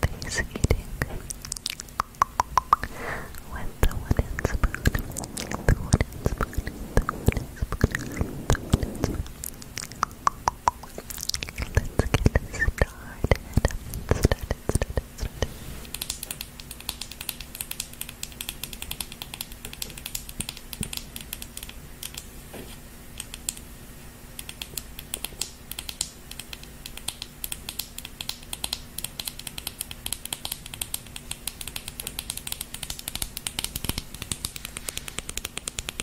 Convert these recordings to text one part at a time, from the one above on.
face eating with the wooden spoon, the wooden spoon, the wooden spoon, the wooden spoon. Let's get started. Started, started, started. Let's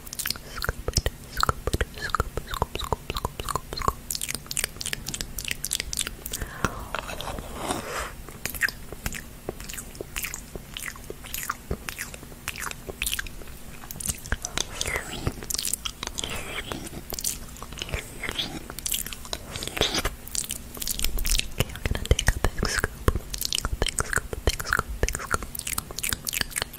Scoop it, scoop it, scoop, scoop, scoop, scoop, scoop, scoop. Okay, I'm gonna take a big scoop, a big scoop, a big scoop, big scoop.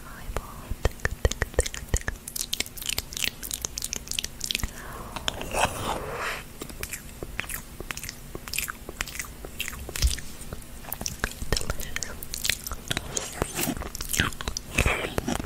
eyeball. Thick, Delicious. Scoop, scoop,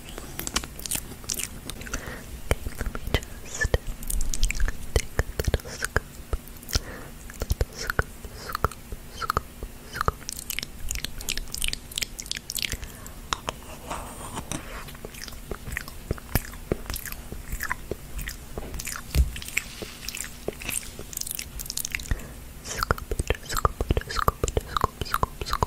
little scoop. Little scoop, scoop, scoop, scoop. Scoop it, scoop it, scoop it, scoop, scoop, scoop,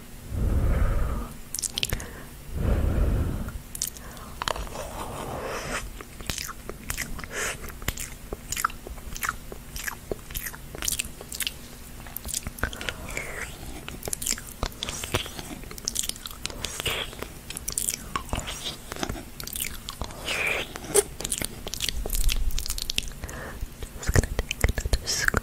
Just gonna take another scoop.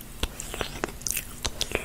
little big scoop. Another big scoop, big scoop, big scoop. Another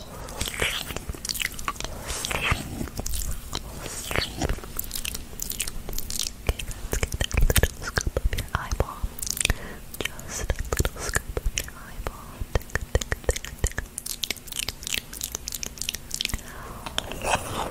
let's scoop up your eyeball. Just a little scoop up your eyeball. Tick, tick, tick, tick. Delicious.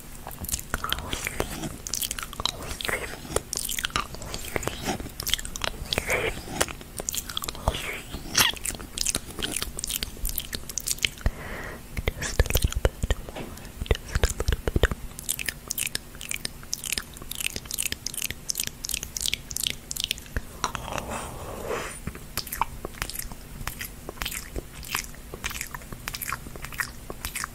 Just a little bit more, just a little bit more. Just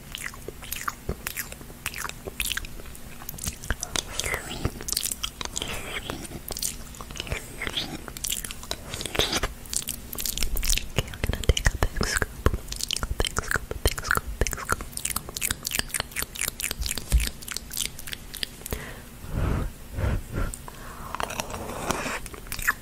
Okay, I'm gonna take a big scoop. A big scoop, a big scoop, a big scoop.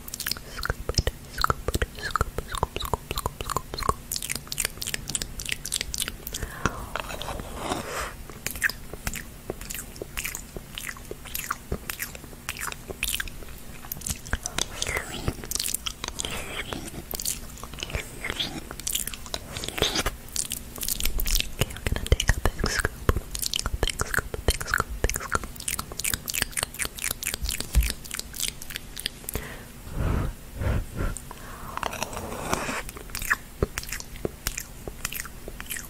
Scoop it, scoop it, scoop, scoop, scoop, scoop, scoop, scoop. Okay, I'm gonna take a big scoop, a big scoop, a big scoop, big scoop. Another little big scoop. Another big scoop, big scoop,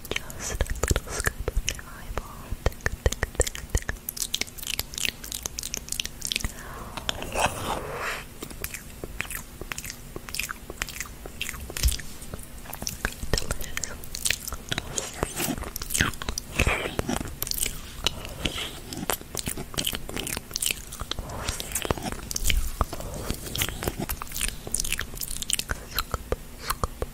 Just a little scoop of your eyeball. Tick, tick, tick, tick. Delicious. Scoop, scoop,